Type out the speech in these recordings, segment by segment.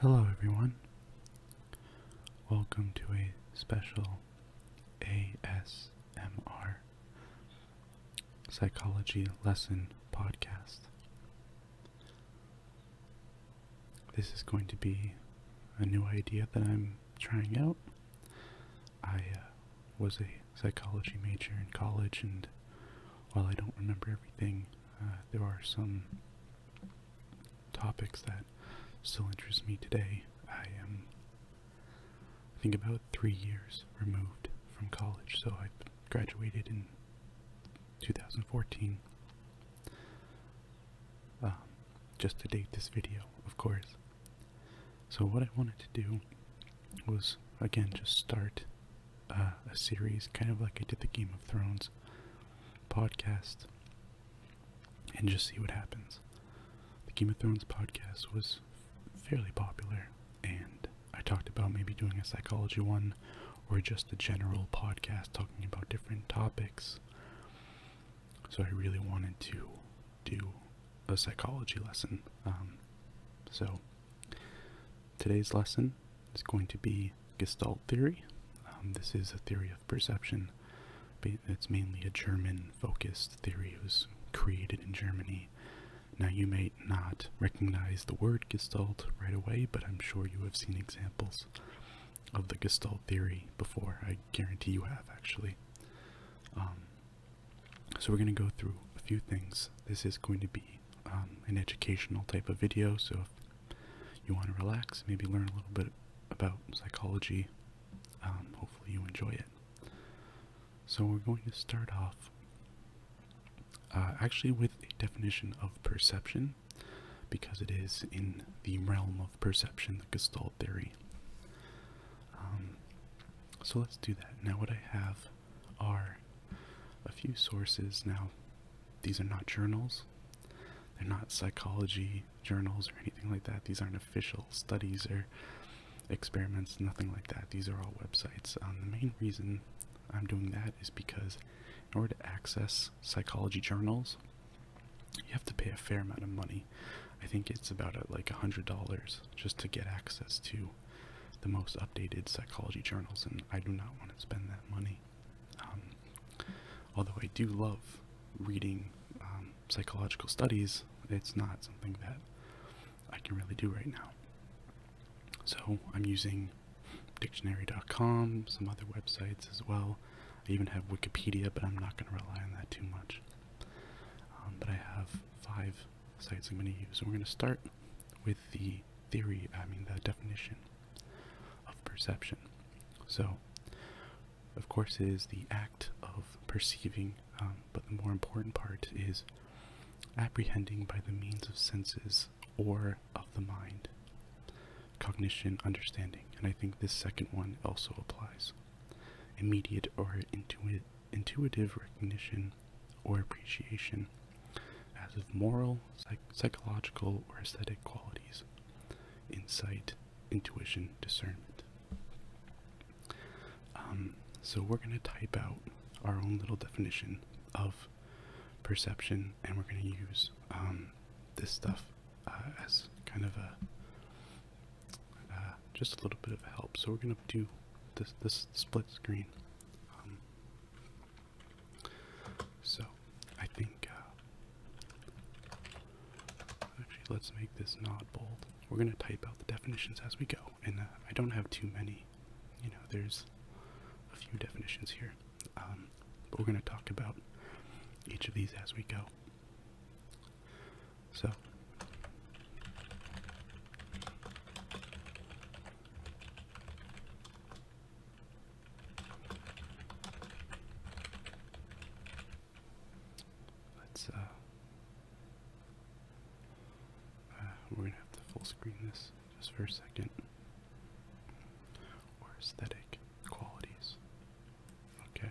Hello, everyone. Welcome to a special ASMR Psychology Lesson podcast. This is going to be a new idea that I'm trying out. I uh, was a psychology major in college and while I don't remember everything, uh, there are some topics that still interest me today. I am, I think, about three years removed from college, so I graduated in 2014. Um, just to date this video, of course. So what I wanted to do was again just start uh, a series, kind of like I did the Game of Thrones podcast, and just see what happens. The Game of Thrones podcast was fairly popular, and I talked about maybe doing a psychology one or just a general podcast talking about different topics. So I really wanted to do a psychology lesson. Um, so today's lesson it's going to be Gestalt theory. Um, this is a theory of perception. It's mainly a German-focused theory. It was created in Germany. Now, you may not recognize the word Gestalt right away, but I'm sure you have seen examples of the Gestalt theory before. I guarantee you have, actually. Um, so we're going to go through a few things. This is going to be um, an educational type of video, so if you want to relax, maybe learn a little bit about psychology, um, hopefully you enjoy it. So we're going to start off uh, actually with a definition of perception, because it is in the realm of perception, the Gestalt theory. Um, so let's do that. Now what I have are a few sources. Now, these are not journals, they're not psychology journals or anything like that. These aren't official studies or experiments, nothing like that. These are all websites. Um, the main reason I'm doing that is because in order to access psychology journals, you have to pay a fair amount of money. I think it's about uh, like a hundred dollars just to get access to the most updated psychology journals, and I do not want to spend that money. Um, although I do love reading um, psychological studies, it's not something that I can really do right now. So I'm using dictionary.com, some other websites as well. I even have Wikipedia, but I'm not going to rely on that too much. Um, but I have five sites I'm going to use. and we're going to start with the theory, I mean, the definition of perception. So, of course, it is the act of perceiving, um, but the more important part is apprehending by the means of senses or of the mind. Cognition, understanding, and I think this second one also applies. Immediate or intuitive recognition or appreciation as of moral, psychological, or aesthetic qualities, insight, intuition, discernment. Um, so we're going to type out our own little definition of perception, and we're going to use um, this stuff uh, as kind of a uh, just a little bit of help. So we're going to do this this split screen. Um, so, I think, uh, actually, let's make this not bold. We're going to type out the definitions as we go, and uh, I don't have too many. You know, there's a few definitions here, um, but we're going to talk about each of these as we go. So, Let's, uh, uh, we're gonna have to full screen this just for a second. Or aesthetic qualities. Okay.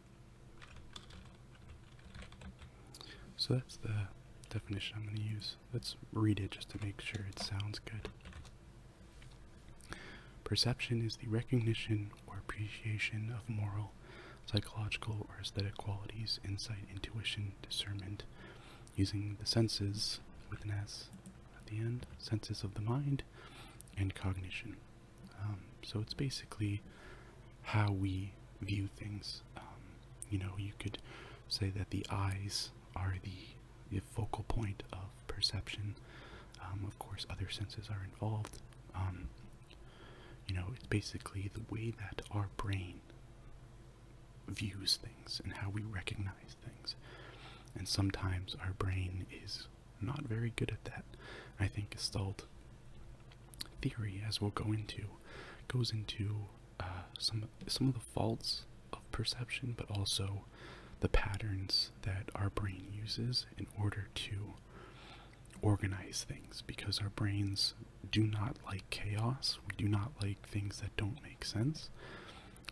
So that's the definition I'm going to use. Let's read it just to make sure it sounds good. Perception is the recognition or appreciation of moral, psychological, or aesthetic qualities, insight, intuition, discernment, using the senses, with an S at the end, senses of the mind, and cognition. Um, so it's basically how we view things. Um, you know, you could say that the eyes are the, focal point of perception. Um, of course, other senses are involved. Um, you know, it's basically the way that our brain views things and how we recognize things. And sometimes our brain is not very good at that. I think Gestalt theory, as we'll go into, goes into uh, some some of the faults of perception, but also the patterns that our brain uses in order to organize things, because our brains do not like chaos. We do not like things that don't make sense.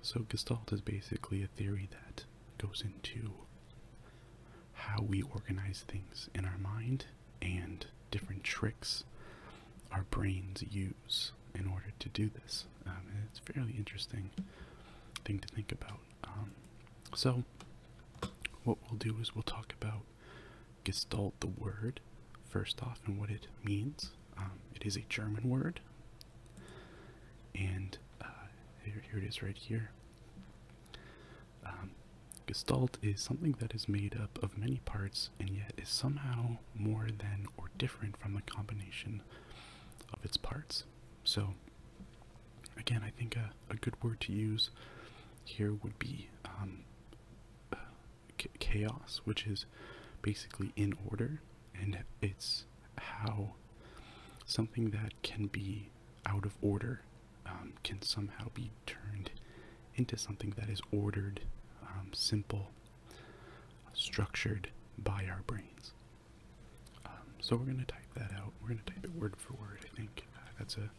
So Gestalt is basically a theory that goes into how we organize things in our mind and different tricks our brains use in order to do this. Um, it's a fairly interesting thing to think about. Um, so, what we'll do is we'll talk about Gestalt, the word, first off, and what it means. Um, it is a German word, and uh, here it is right here. Um, gestalt is something that is made up of many parts and yet is somehow more than or different from the combination of its parts. So, again, I think a, good word to use here would be um, chaos, which is basically in order and it's how something that can be out of order um, can somehow be turned into something that is ordered, um, simple, structured by our brains. Um, so we're going to type that out. We're going to type it word for word, I think. Uh, that's a,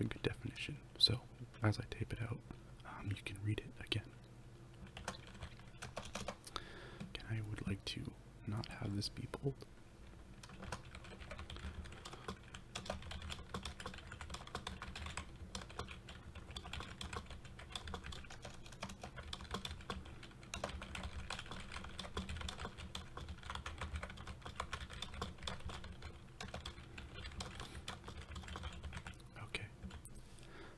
a good definition. So as I type it out, you can read it again. I would like to not have this be bold. Okay.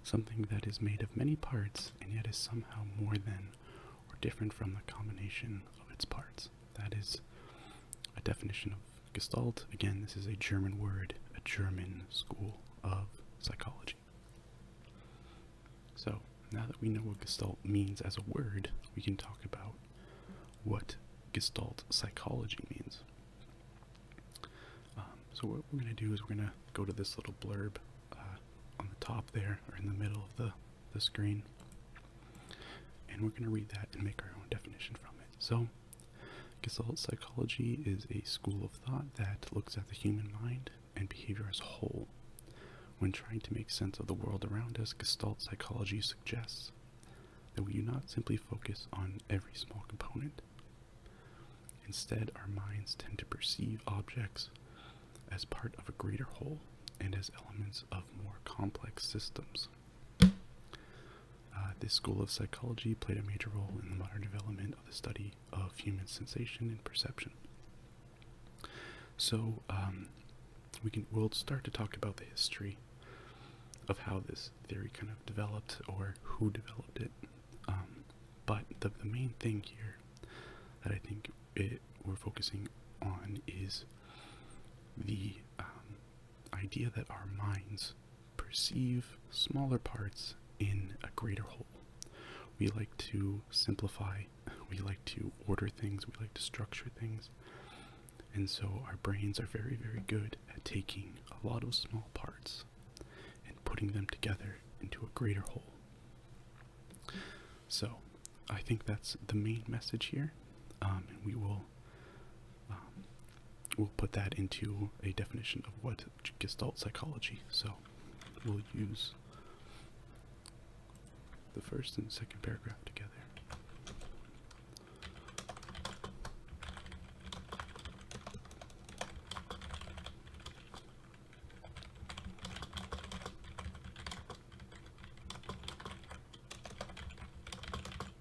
Something that is made of many parts and yet is somehow more than or different from the combination of its parts. That is a definition of Gestalt. Again, this is a German word, a German school of psychology. So, now that we know what Gestalt means as a word, we can talk about what Gestalt psychology means. Um, so, what we're going to do is we're going to go to this little blurb uh, on the top there, or in the middle of the, the screen. And we're going to read that and make our own definition from it. So, Gestalt psychology is a school of thought that looks at the human mind and behavior as a whole. When trying to make sense of the world around us, Gestalt psychology suggests that we do not simply focus on every small component. Instead, our minds tend to perceive objects as part of a greater whole and as elements of more complex systems. Uh, this school of psychology played a major role in the modern development of the study of human sensation and perception. So um, we can we'll start to talk about the history of how this theory kind of developed or who developed it. Um, but the, main thing here that I think we're focusing on is the um, idea that our minds perceive smaller parts in a greater whole. We like to simplify, we like to order things, we like to structure things. And so our brains are very, very good at taking a lot of small parts and putting them together into a greater whole. So I think that's the main message here. Um, and we will um, we'll put that into a definition of what Gestalt psychology. So we'll use the first and second paragraph together.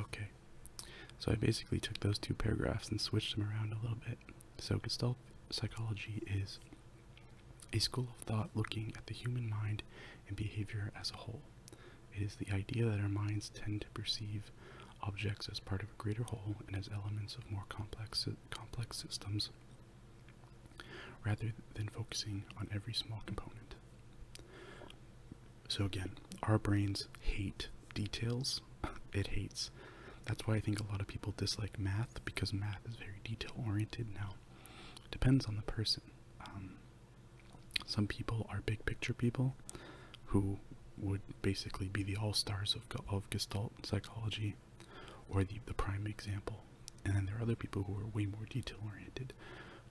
Okay, so I basically took those two paragraphs and switched them around a little bit. So, Gestalt psychology is a school of thought looking at the human mind and behavior as a whole. It is the idea that our minds tend to perceive objects as part of a greater whole and as elements of more complex complex systems rather than focusing on every small component. So again, our brains hate details. It hates. That's why I think a lot of people dislike math because math is very detail oriented now. Depends on the person. Um, some people are big picture people who would basically be the all-stars of, of Gestalt psychology or the, the prime example. And then there are other people who are way more detail-oriented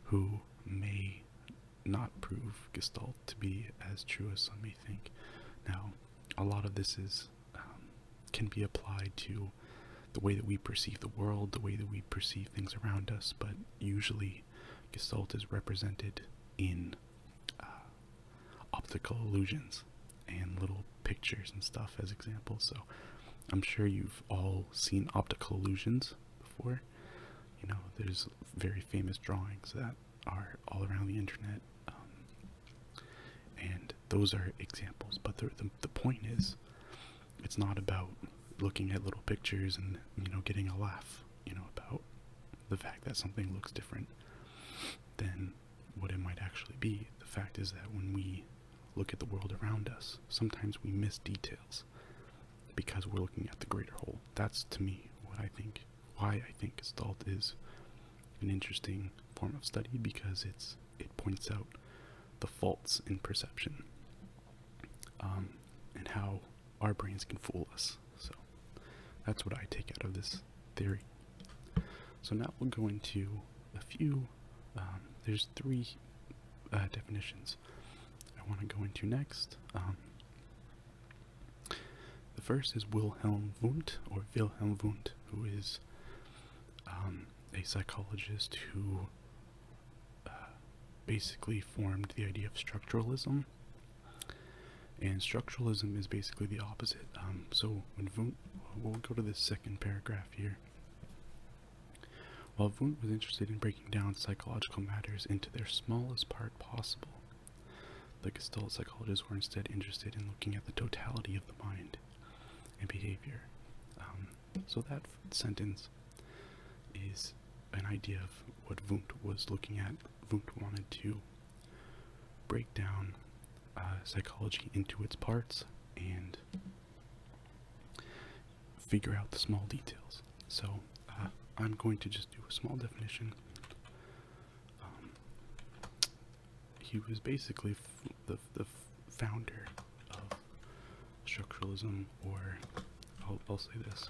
who may not prove Gestalt to be as true as some may think. Now, a lot of this is um, can be applied to the way that we perceive the world, the way that we perceive things around us, but usually Gestalt is represented in uh, optical illusions and little pictures and stuff as examples. So I'm sure you've all seen optical illusions before. You know, there's very famous drawings that are all around the internet, um, and those are examples. But the the point is, it's not about looking at little pictures and you know getting a laugh. You know about the fact that something looks different than what it might actually be. The fact is that when we look at the world around us, sometimes we miss details because we're looking at the greater whole. That's to me what I think, why I think Gestalt is an interesting form of study because it's it points out the faults in perception um, and how our brains can fool us. So that's what I take out of this theory. So now we'll go into a few. Um, there's three uh, definitions I want to go into next. Um, the first is Wilhelm Wundt, or Wilhelm Wundt, who is um, a psychologist who uh, basically formed the idea of structuralism and structuralism is basically the opposite. Um, so when we'll go to this second paragraph here. While Wundt was interested in breaking down psychological matters into their smallest part possible, the Gestalt psychologists were instead interested in looking at the totality of the mind and behavior. Um, so that sentence is an idea of what Wundt was looking at Wundt wanted to break down uh, psychology into its parts and figure out the small details. So uh, I'm going to just do a small definition. Um, he was basically the, the founder of structuralism, or I'll, I'll say this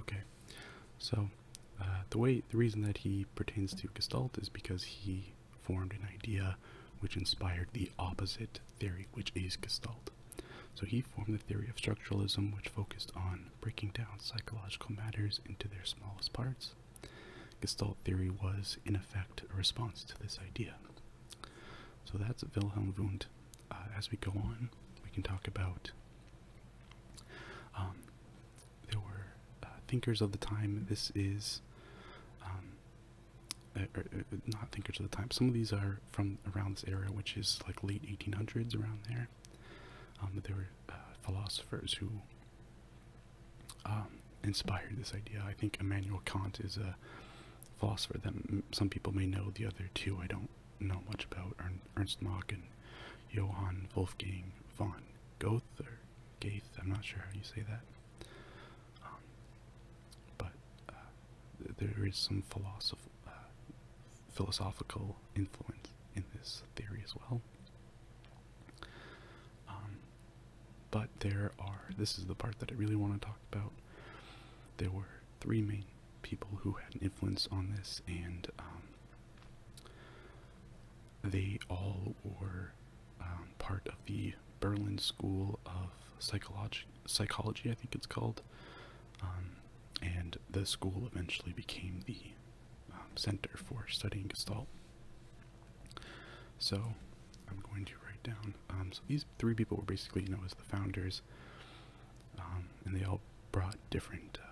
Okay, so uh, the way the reason that he pertains to Gestalt is because he formed an idea which inspired the opposite theory, which is Gestalt. So he formed the theory of structuralism, which focused on breaking down psychological matters into their smallest parts. Gestalt theory was, in effect, a response to this idea. So that's Wilhelm Wundt. Uh, as we go on, we can talk about. Um, there were uh, thinkers of the time. This is um, uh, er, er, not thinkers of the time. Some of these are from around this era, which is like late 1800s, around there there. that um, there were uh, philosophers who um, inspired this idea. I think Immanuel Kant is a philosopher that some people may know. The other two I don't know much about Ern Ernst Mach and Johann Wolfgang von Goethe or Gaith. I'm not sure how you say that. Um, but uh, there is some philosoph uh, philosophical influence in this theory as well. Um, but there are, this is the part that I really want to talk about. There were three main people who had an influence on this, and um, they all were um, part of the Berlin School of Psychology, psychology I think it's called. and the school eventually became the um, center for Studying Gestalt. So I'm going to write down. Um, so these three people were basically, you know, as the founders, um, and they all brought different, uh,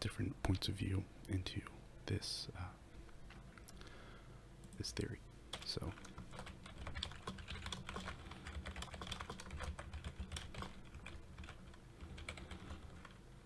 different points of view into this uh, this theory. So.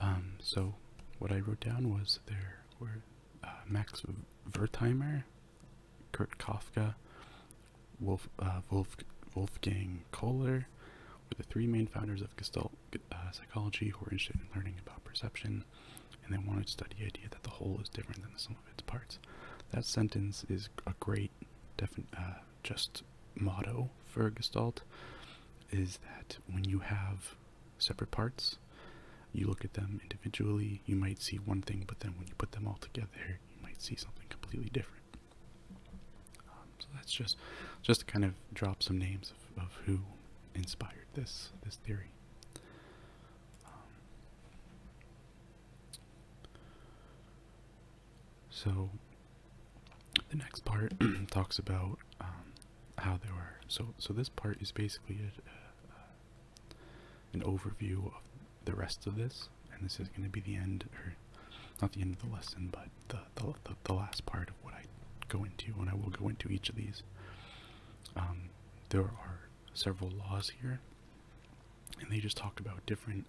Um, so what I wrote down was there were uh, Max Wertheimer, Kurt Kafka, uh, Wolf, Wolfgang Kohler were the three main founders of Gestalt uh, psychology who are interested in learning about perception, and they wanted to study the idea that the whole is different than the sum of its parts. That sentence is a great, uh, just motto for Gestalt, is that when you have separate parts, you look at them individually, you might see one thing, but then when you put them all together, you might see something completely different. So that's just just to kind of drop some names of, of who inspired this this theory. Um, so the next part talks about um, how there were. So so this part is basically an overview of the rest of this, and this is going to be the end, or not the end of the lesson, but the, the, the, last part of what I go into, and I will go into each of these. Um, there are several laws here, and they just talk about different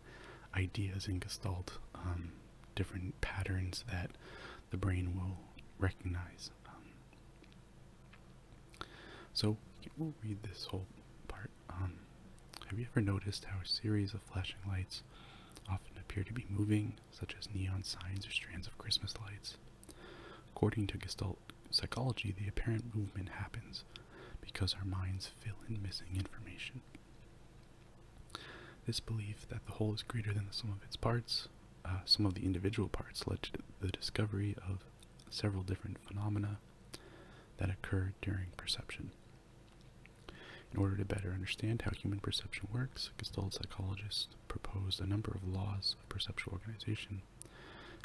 ideas in Gestalt, um, different patterns that the brain will recognize. Um, so we'll read this whole part. have you ever noticed how a series of flashing lights often appear to be moving such as neon signs or strands of Christmas lights. According to Gestalt psychology, the apparent movement happens because our minds fill in missing information. This belief that the whole is greater than the sum of its parts, uh, some of the individual parts, led to the discovery of several different phenomena that occur during perception. In order to better understand how human perception works, Gestalt psychologists proposed a number of laws of perceptual organization,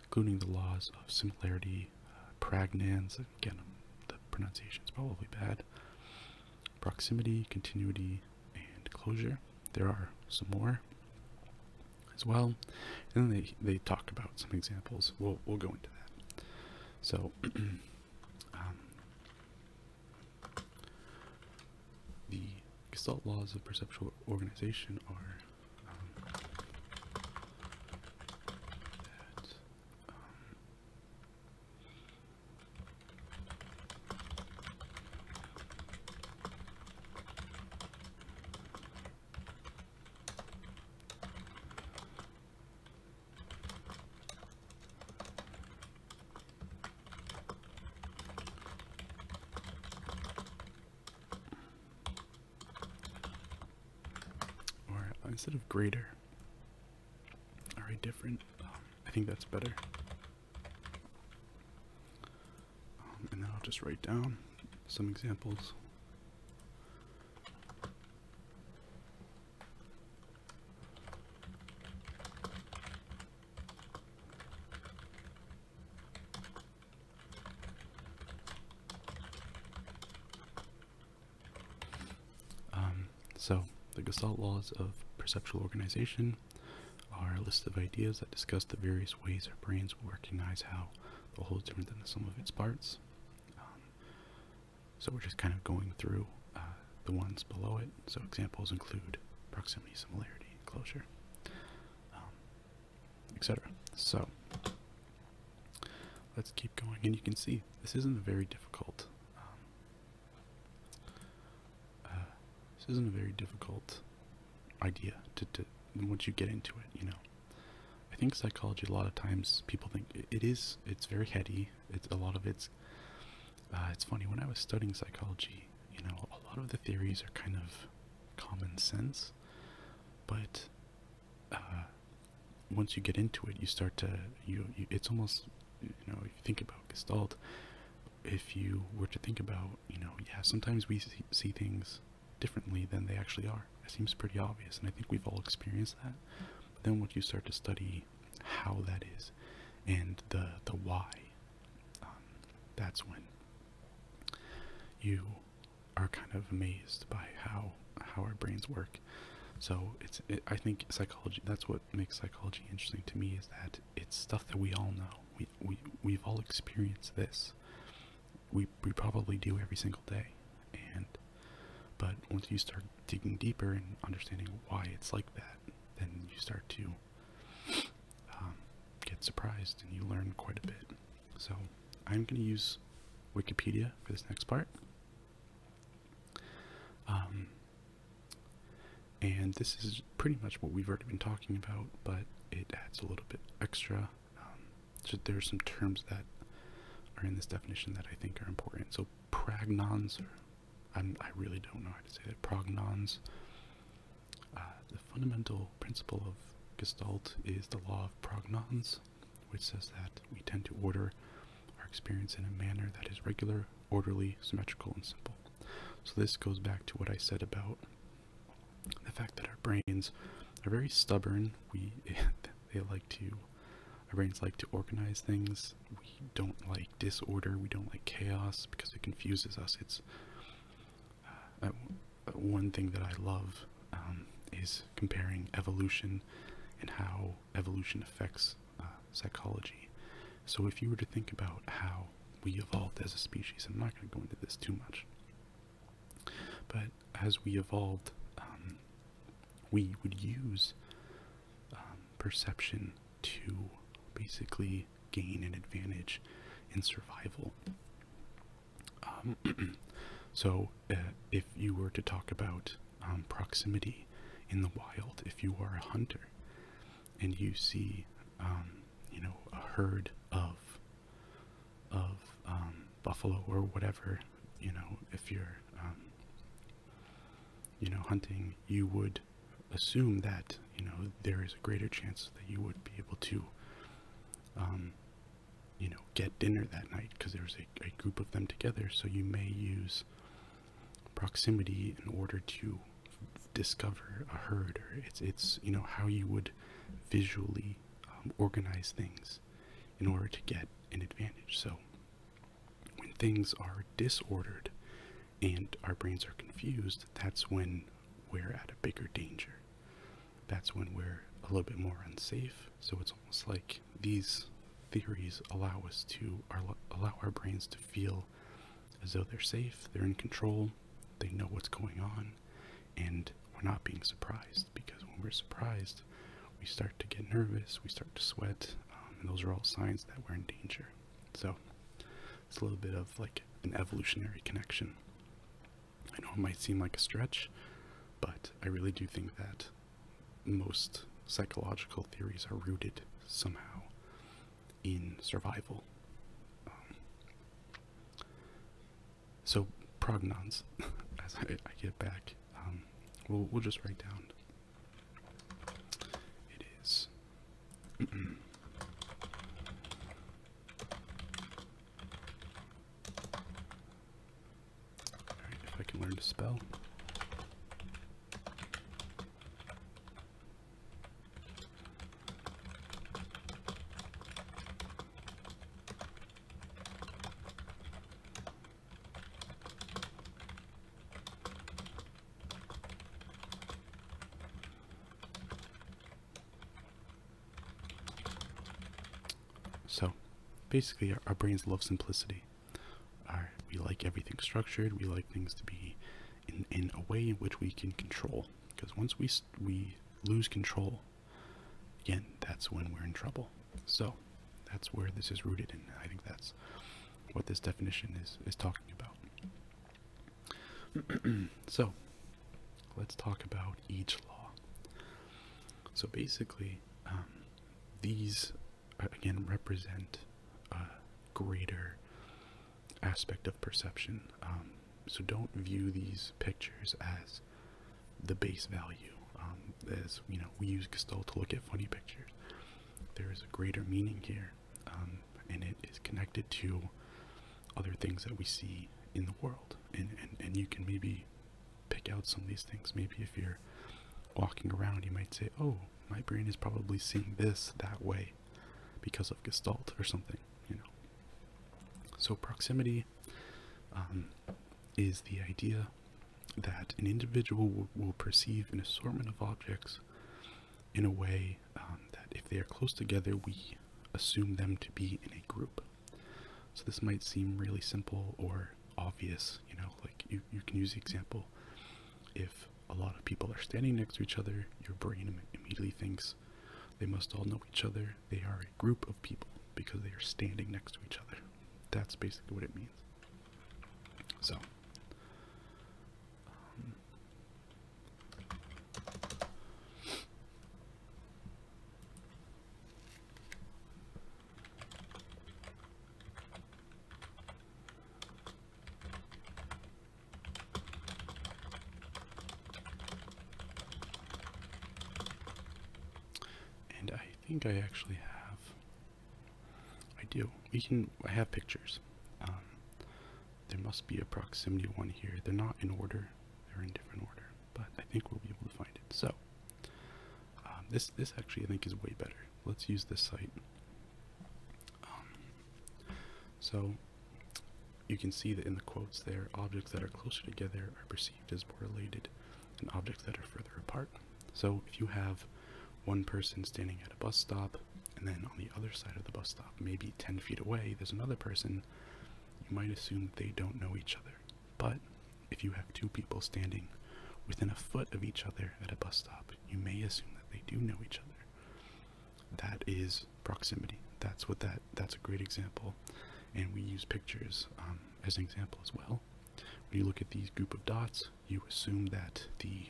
including the laws of similarity, uh, again, the pronunciation is probably bad, proximity, continuity, and closure. There are some more as well. And they, they talk about some examples. We'll, we'll go into that. So, um, the Gestalt laws of perceptual organization are um, that um, or instead of greater, are all right, different. I think that's better. Um, and then I'll just write down some examples. Um, so, the Gestalt laws of perceptual organization are a list of ideas that discuss the various ways our brains will recognize how the whole is different than the sum of its parts. Um, so, we're just kind of going through uh, the ones below it. So examples include proximity, similarity, closure, um, etc. So let's keep going, and you can see this isn't a very difficult. Um, uh, this isn't a very difficult idea to, once you get into it. You know, I think psychology a lot of times people think it is. It's very heady. It's a lot of it's uh, it's funny, when I was studying psychology, you know, a lot of the theories are kind of common sense, but uh, once you get into it, you start to, you, it's almost, you know, if you think about Gestalt, if you were to think about, you know, yeah, sometimes we see, see things differently than they actually are. It seems pretty obvious, and I think we've all experienced that. But then once you start to study how that is and the, the why um, that's when you are kind of amazed by how how our brains work. So it's I think psychology. That's what makes psychology interesting to me is that it's stuff that we all know. We we we've all experienced this. We we probably do every single day, and but once you start digging deeper and understanding why it's like that, then you start to um, get surprised and you learn quite a bit. So I'm going to use Wikipedia for this next part. Um, and this is pretty much what we've already been talking about, but it adds a little bit extra. Um, so there are some terms that are in this definition that I think are important. So pragnons i really don't know how to say that. Prognons. Uh, the fundamental principle of Gestalt is the law of prognons, which says that we tend to order our experience in a manner that is regular, orderly, symmetrical, and simple. So this goes back to what I said about the fact that our brains are very stubborn. We they like to our brains like to organize things we don't like disorder, we don't like chaos because it confuses us. It's uh, uh, one thing that I love um, is comparing evolution and how evolution affects uh, psychology. So if you were to think about how we evolved as a species, I'm not going to go into this too much, but as we evolved, um, we would use um, perception to basically gain an advantage in survival. Um, so, uh, if you were to talk about um, proximity in the wild, if you are a hunter and you see, you know, a herd of of buffalo or whatever, you know, if you're, you know, hunting, you would assume that you know there is a greater chance that you would be able to um, you know get dinner that night because there's a, a group of them together so you may use proximity in order to discover a herd or it's it's you know how you would visually um, organize things in order to get an advantage so when things are disordered and our brains are confused, that's when we're at a bigger danger. That's when we're a little bit more unsafe. So it's almost like these theories allow us to allow our brains to feel as though they're safe, they're in control, they know what's going on, and we're not being surprised because when we're surprised, we start to get nervous, we start to sweat, um, and those are all signs that we're in danger. So it's a little bit of like an evolutionary connection. I know it might seem like a stretch, but I really do think that most psychological theories are rooted somehow in survival. Um, so prognons, as I, get back, um, we'll, we'll just write down. It is if I can learn to spell. So, basically, our, brains love simplicity. we like everything structured. We like things to be in, in a way in which we can control. Because once we we lose control, again, that's when we're in trouble. So, that's where this is rooted and I think that's what this definition is is talking about. so, let's talk about each law. So basically, um, these uh, again represent a greater aspect of perception. Um, so don't view these pictures as the base value. Um, as you know, we use Gestalt to look at funny pictures. There is a greater meaning here um, and it is connected to other things that we see in the world. And, and, you can maybe pick out some of these things. Maybe if you're walking around, you might say, oh, my brain is probably seeing this that way because of Gestalt or something, you know. So proximity um, is the idea that an individual will perceive an assortment of objects in a way um, that if they are close together, we assume them to be in a group. So this might seem really simple or obvious, you know, like you, you can use the example if a lot of people are standing next to each other, your brain immediately thinks they must all know each other. They are a group of people because they are standing next to each other. That's basically what it means. So, um, and I think I actually have. I do. We can. have pictures. Um, there must be a proximity one here. They're not in order, they're in different order, but I think we'll be able to find it. So, um, this, this actually I think is way better. Let's use this site. Um, so, you can see that in the quotes there, objects that are closer together are perceived as more related and objects that are further apart. So, if you have one person standing at a bus stop and then on the other side of the bus stop, maybe 10 feet away, there's another person. You might assume they don't know each other. But if you have two people standing within a foot of each other at a bus stop, you may assume that they do know each other. That is proximity. That's what that that's a great example. And we use pictures um, as an example as well. When you look at these group of dots, you assume that the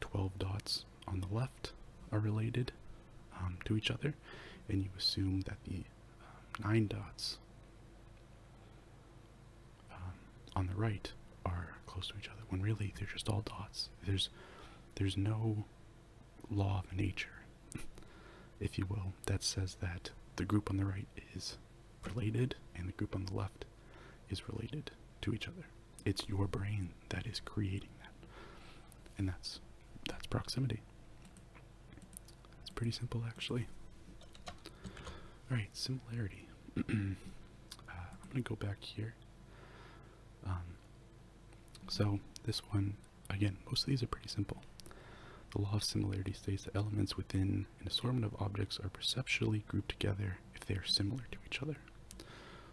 12 dots on the left are related um, to each other, and you assume that the um, 9 dots um, on the right are close to each other, when really they're just all dots. There's, there's no law of nature, if you will, that says that the group on the right is related and the group on the left is related to each other. It's your brain that is creating that. And that's that's proximity. It's pretty simple actually. Alright, similarity. Uh, I'm gonna go back here. Um, so this one, again, most of these are pretty simple. The law of similarity states that elements within an assortment of objects are perceptually grouped together if they are similar to each other.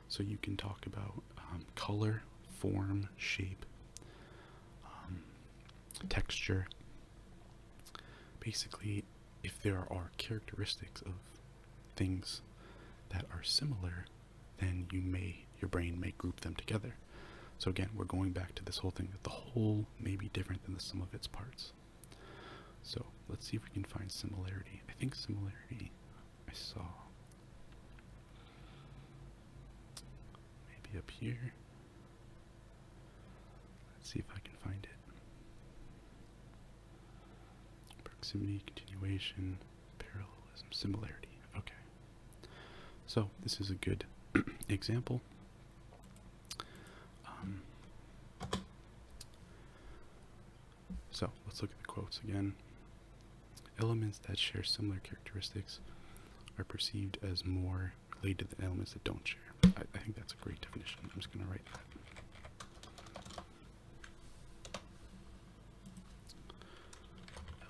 So you can talk about um, color, form, shape, um, texture. Basically, if there are characteristics of things that are similar, then you may your brain may group them together. So again, we're going back to this whole thing that the whole may be different than the sum of its parts. So let's see if we can find similarity. I think similarity I saw. Maybe up here. Let's see if I can find it. Proximity, continuation, parallelism, similarity. Okay. So, this is a good example. Um, so let's look at the quotes again. Elements that share similar characteristics are perceived as more related than elements that don't share. I, I think that's a great definition. I'm just going to write that.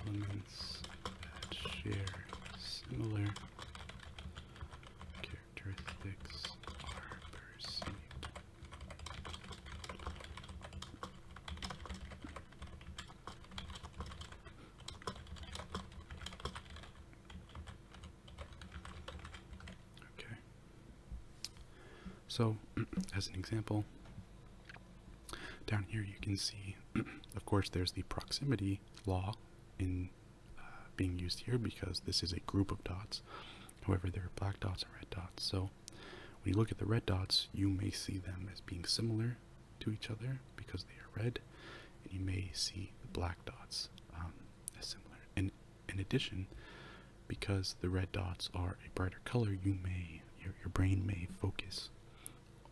Elements that share similar characteristics are perceived Okay. So, as an example, down here you can see, of course, there's the proximity law in uh, being used here because this is a group of dots. However, there are black dots and red dots. So, when you look at the red dots, you may see them as being similar to each other because they are red, and you may see the black dots um, as similar. And in addition, because the red dots are a brighter color, you may your, brain may focus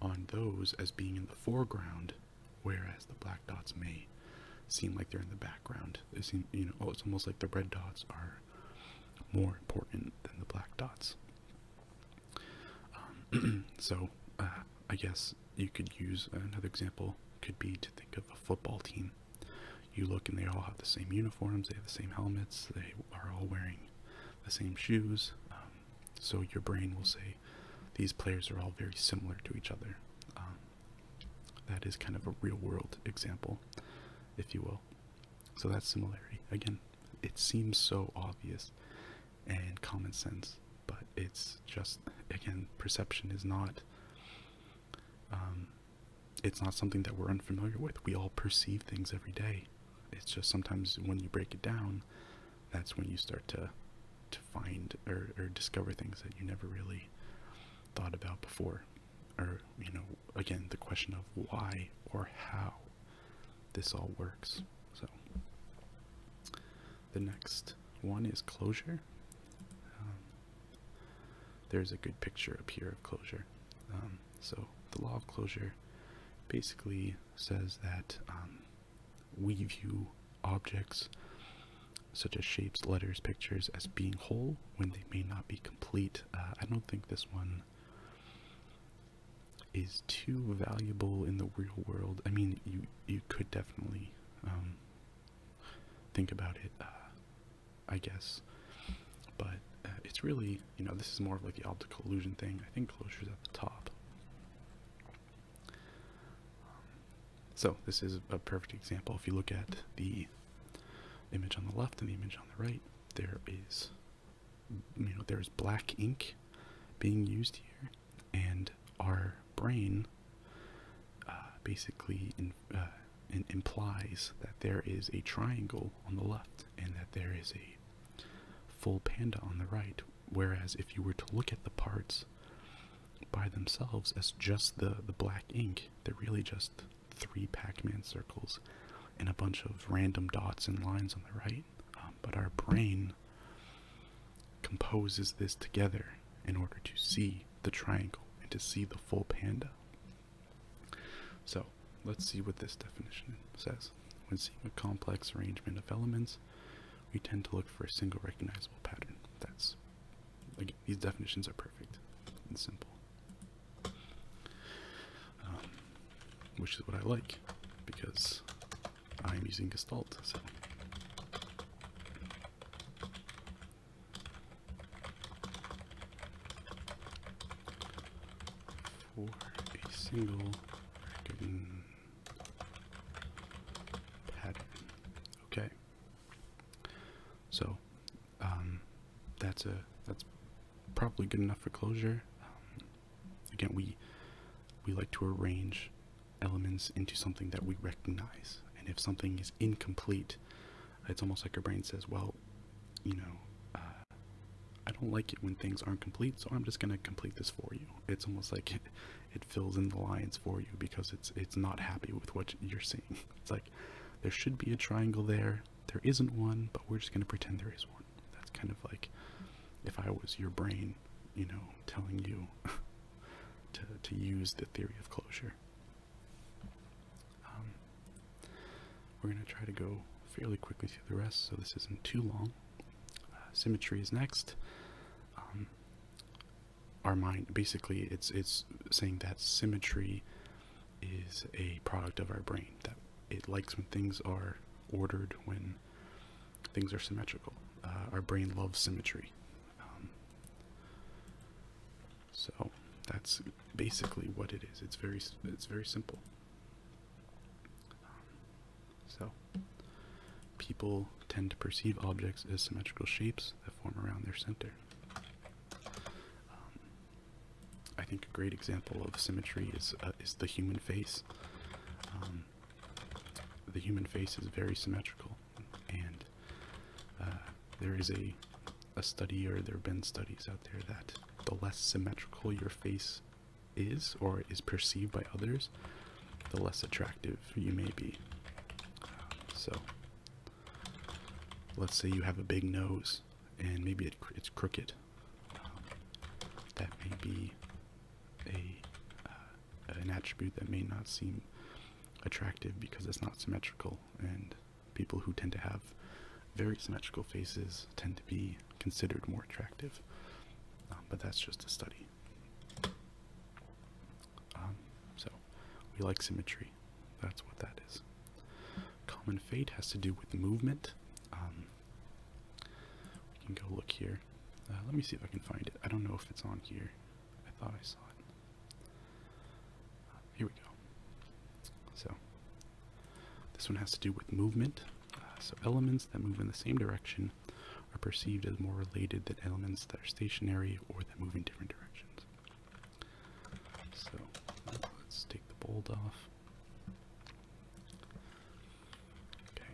on those as being in the foreground, whereas the black dots may seem like they're in the background. They seem, you know, oh, it's almost like the red dots are more important than the black dots. Um, so uh, I guess you could use another example could be to think of a football team. You look and they all have the same uniforms, they have the same helmets, they are all wearing the same shoes. Um, so your brain will say these players are all very similar to each other. Um, that is kind of a real world example, if you will. So that's similarity. Again, it seems so obvious and common sense, but it's just again perception is not um, it's not something that we're unfamiliar with. We all perceive things every day. It's just sometimes when you break it down, that's when you start to to find or discover things that you never really thought about before or you know again the question of why or how this all works. So the next one is closure. Um, there's a good picture up here of closure. Um, so the law of closure basically says that um, we view objects such as shapes, letters, pictures as being whole when they may not be complete. Uh, I don't think this one is too valuable in the real world. I mean, you you could definitely um, think about it, uh, I guess, but uh, it's really you know this is more of like the optical illusion thing. I think closure's at the top. so this is a perfect example. If you look at the image on the left and the image on the right, there is you know there's black ink being used here and our brain uh, basically uh, in implies that there is a triangle on the left and that there is a full panda on the right whereas if you were to look at the parts by themselves as just the the black ink they're really just three Pac-Man circles and a bunch of random dots and lines on the right. Um, but our brain composes this together in order to see the triangle and to see the full panda. So let's see what this definition says. When seeing a complex arrangement of elements, we tend to look for a single recognizable pattern. That's, these definitions are perfect and simple. Um, which is what I like because I'm using Gestalt. So. a single pattern. Okay. So um, that's a that's probably good enough for closure. Um, again, we we like to arrange elements into something that we recognize, and if something is incomplete, it's almost like your brain says, "Well, you know." Uh, I don't like it when things aren't complete, so I'm just gonna complete this for you. It's almost like it, it fills in the lines for you because it's it's not happy with what you're seeing. It's like there should be a triangle there, there isn't one, but we're just going to pretend there is one. That's kind of like if I was your brain, you know, telling you to, to use the theory of closure. Um, we're going to try to go fairly quickly through the rest, so this isn't too long. Uh, symmetry is next. Um, our mind, basically, it's it's saying that symmetry is a product of our brain that it likes when things are ordered, when things are symmetrical. Uh, our brain loves symmetry. Um, so that's basically what it is. It's very it's very simple. so people tend to perceive objects as symmetrical shapes that form around their center. Um, I think a great example of symmetry is uh, is the human face. Um, the human face is very symmetrical, and uh, there is a a study, or there have been studies out there that the less symmetrical your face is or is perceived by others, the less attractive you may be. So, let's say you have a big nose and maybe it's crooked. Um, that may be a uh, an attribute that may not seem attractive because it's not symmetrical, and people who tend to have very symmetrical faces tend to be considered more attractive. Um, but that's just a study. Um, so we like symmetry. That's what that is. Common fate has to do with movement. Um, we can go look here. Uh, let me see if I can find it. I don't know if it's on here. I thought I saw it. here we go. So, this one has to do with movement. Uh, so, elements that move in the same direction are perceived as more related than elements that are stationary or that move in different directions. So let's take the bolt off. Okay.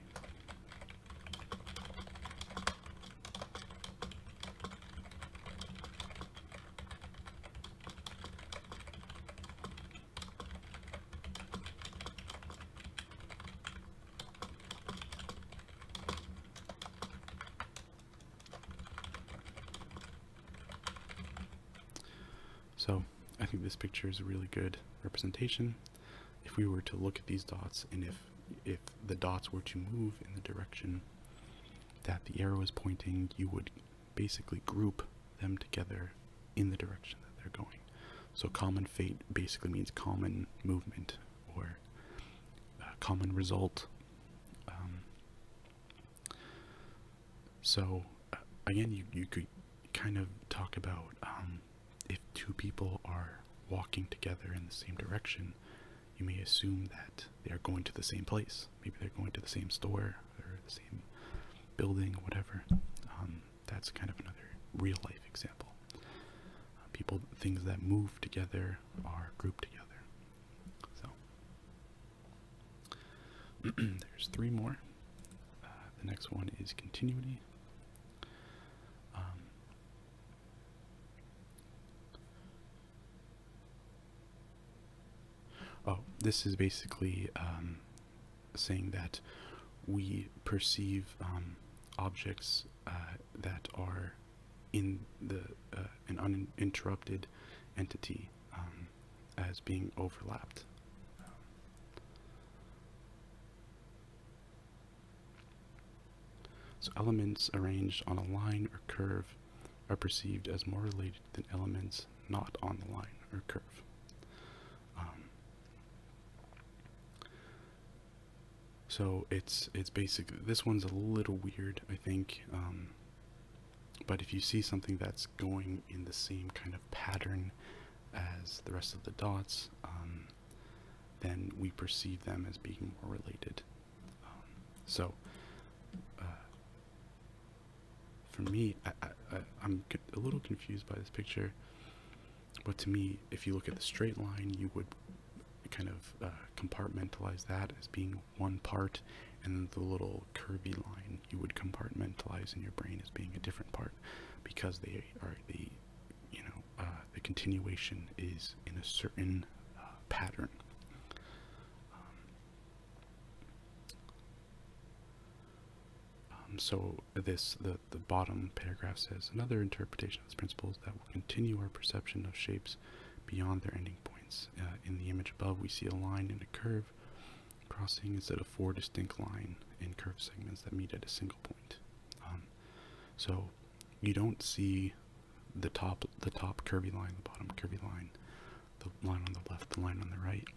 So I think this picture is a really good representation. If we were to look at these dots and if if the dots were to move in the direction that the arrow is pointing, you would basically group them together in the direction that they're going. So common fate basically means common movement or uh, common result. Um, so, uh, again, you, you could kind of talk about um, if two people are walking together in the same direction, you may assume that they are going to the same place. Maybe they're going to the same store or the same building, whatever. Um, that's kind of another real life example. Uh, people, things that move together are grouped together. So, There's three more. Uh, the next one is continuity. Um, oh, this is basically um, saying that we perceive um, objects uh, that are in the uh, an uninterrupted entity um, as being overlapped. so elements arranged on a line or curve are perceived as more related than elements not on the line or curve. Um, so it's it's basically this one's a little weird, I think. Um, but if you see something that's going in the same kind of pattern as the rest of the dots, um, then we perceive them as being more related. Um, so, uh, for me, I, am a little confused by this picture, but to me, if you look at the straight line, you would kind of uh, compartmentalize that as being one part, and the little curvy line you would compartmentalize in your brain as being a different part, because they are the, you know, uh, the continuation is in a certain uh, pattern. Um, so this the the bottom paragraph says another interpretation of this principle is that will continue our perception of shapes beyond their ending points. Uh, in the image above, we see a line and a curve crossing instead of four distinct line and curve segments that meet at a single point. Um, so you don't see the top the top curvy line, the bottom curvy line, the line on the left, the line on the right.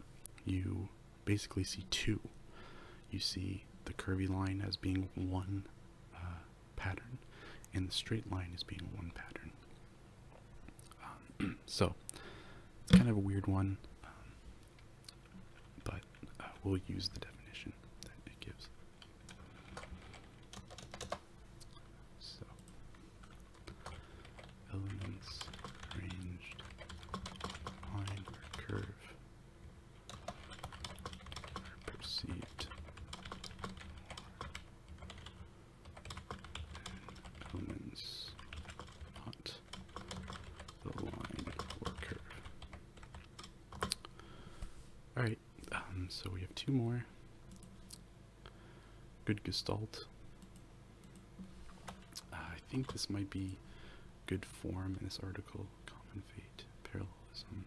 You basically see two. You see the curvy line as being one uh, pattern, and the straight line as being one pattern. Um, so it's kind of a weird one, um, but uh, we'll use the definition that it gives. So elements arranged line or curve are perceived Omens not aligned or curve. Alright, um, so we have two more. Good gestalt. Uh, I think this might be good form in this article. Common fate, parallelism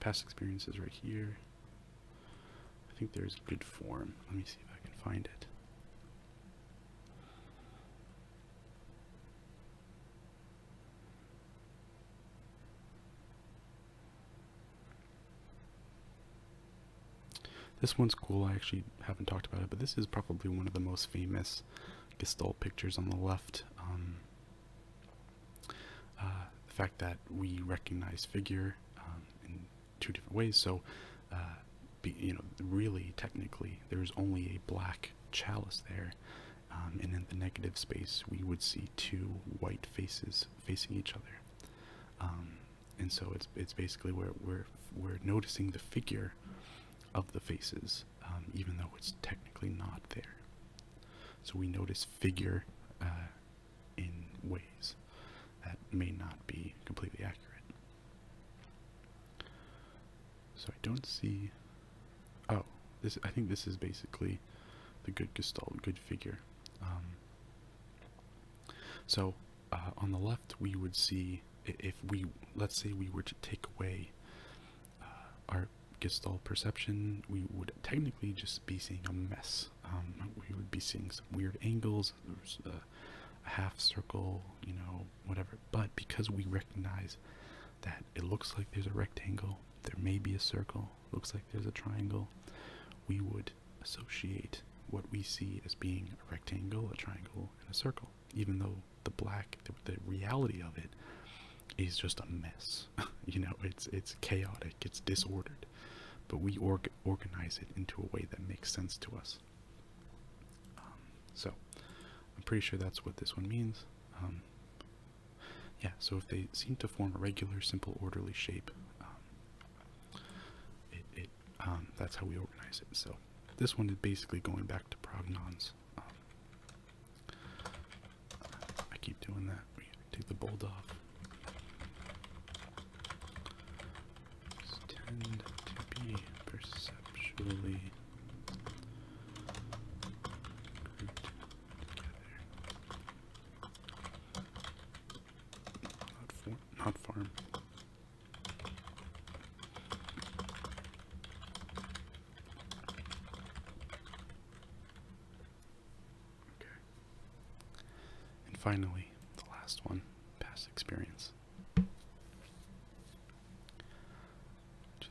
past experiences right here. I think there's good form. Let me see if I can find it. This one's cool, I actually haven't talked about it, but this is probably one of the most famous Gestalt pictures on the left. Um, uh, the fact that we recognize figure um, in two different ways, so uh, you know, really technically there's only a black chalice there, um, and in the negative space we would see two white faces facing each other, um, and so it's it's basically where we're we're noticing the figure of the faces, even though it's technically not there. So we notice figure uh, in ways that may not be completely accurate. So I don't see. Oh, this I think this is basically the good gestalt, good figure. Um, so uh, on the left, we would see if we let's say we were to take away uh, our gestalt perception, we would technically just be seeing a mess um, we would be seeing some weird angles. There's a half circle, you know, whatever. But because we recognize that it looks like there's a rectangle, there may be a circle, looks like there's a triangle, we would associate what we see as being a rectangle, a triangle, and a circle, even though the black, the, reality of it is just a mess. you know, it's it's chaotic, it's disordered, but we org organize it into a way that makes sense to us. Um, so I'm pretty sure that's what this one means. Um, yeah, so if they seem to form a regular, simple, orderly shape, um, it, that's how we organize it. So this one is basically going back to prognons. I keep doing that. Take the bold off. tend to be perceptually Not, for, not farm. And finally, the last one past experience, which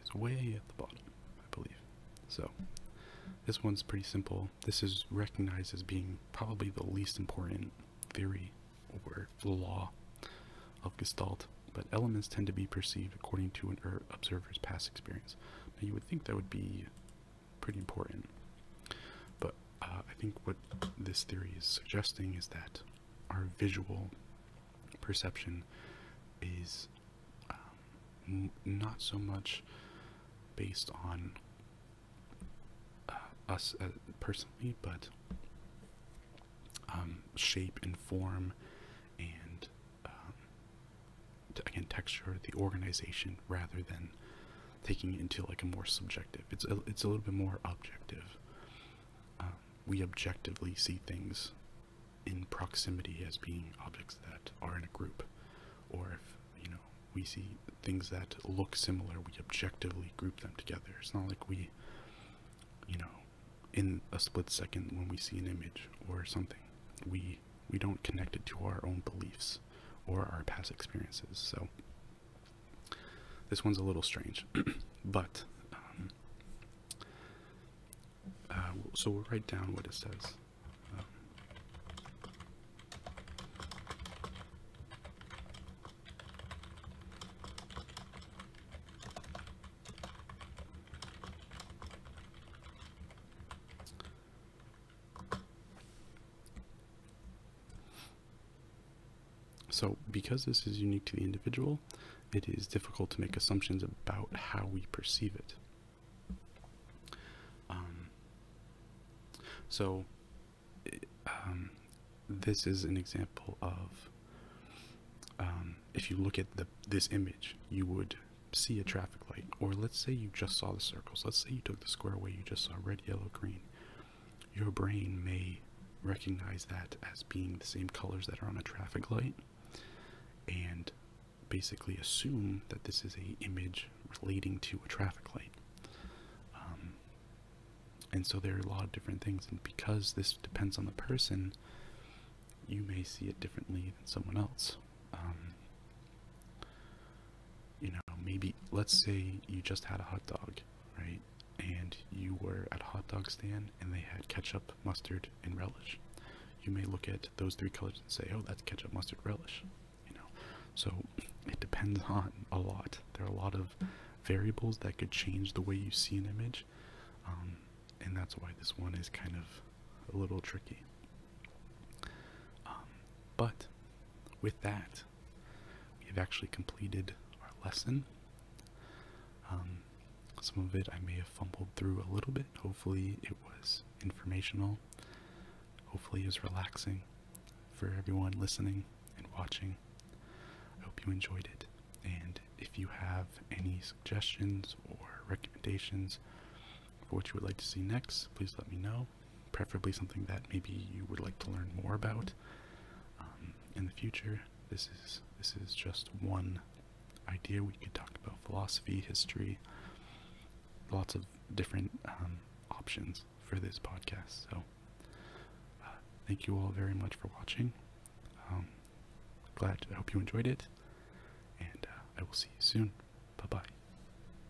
is way at the bottom, I believe. So, this one's pretty simple. This is recognized as being probably the least important theory or law of Gestalt, but elements tend to be perceived according to an er, observer's past experience. Now, you would think that would be pretty important. But uh, I think what this theory is suggesting is that our visual perception is um, not so much based on uh, us uh, personally, but um, shape and form and um, again texture, the organization, rather than taking it into like a more subjective it's a, it's a little bit more objective um, we objectively see things in proximity as being objects that are in a group or if you know we see things that look similar we objectively group them together it's not like we you know in a split second when we see an image or something we we don't connect it to our own beliefs or our past experiences. So this one's a little strange, but um, uh, so we'll write down what it says. So because this is unique to the individual, it is difficult to make assumptions about how we perceive it. Um, so um, this is an example of um, if you look at the, this image, you would see a traffic or let's say you just saw the circles, let's say you took the square away, you just saw red, yellow, green, your brain may recognize that as being the same colors that are on a traffic light and basically assume that this is a image relating to a traffic light. Um, and so there are a lot of different things, and because this depends on the person, you may see it differently than someone else. Um, you know maybe let's say you just had a hot dog right and you were at a hot dog stand and they had ketchup mustard and relish you may look at those three colors and say oh that's ketchup mustard relish you know so it depends on a lot there are a lot of variables that could change the way you see an image um, and that's why this one is kind of a little tricky um, but with that, we have actually completed our lesson. Um, some of it I may have fumbled through a little bit. Hopefully, it was informational. Hopefully, it was relaxing for everyone listening and watching. I hope you enjoyed it. And if you have any suggestions or recommendations for what you would like to see next, please let me know preferably something that maybe you would like to learn more about um, in the future. This is this is just one idea. We could talk about philosophy, history, lots of different um, options for this podcast. So uh, thank you all very much for watching. Um, glad I hope you enjoyed it, and uh, I will see you soon. Bye bye.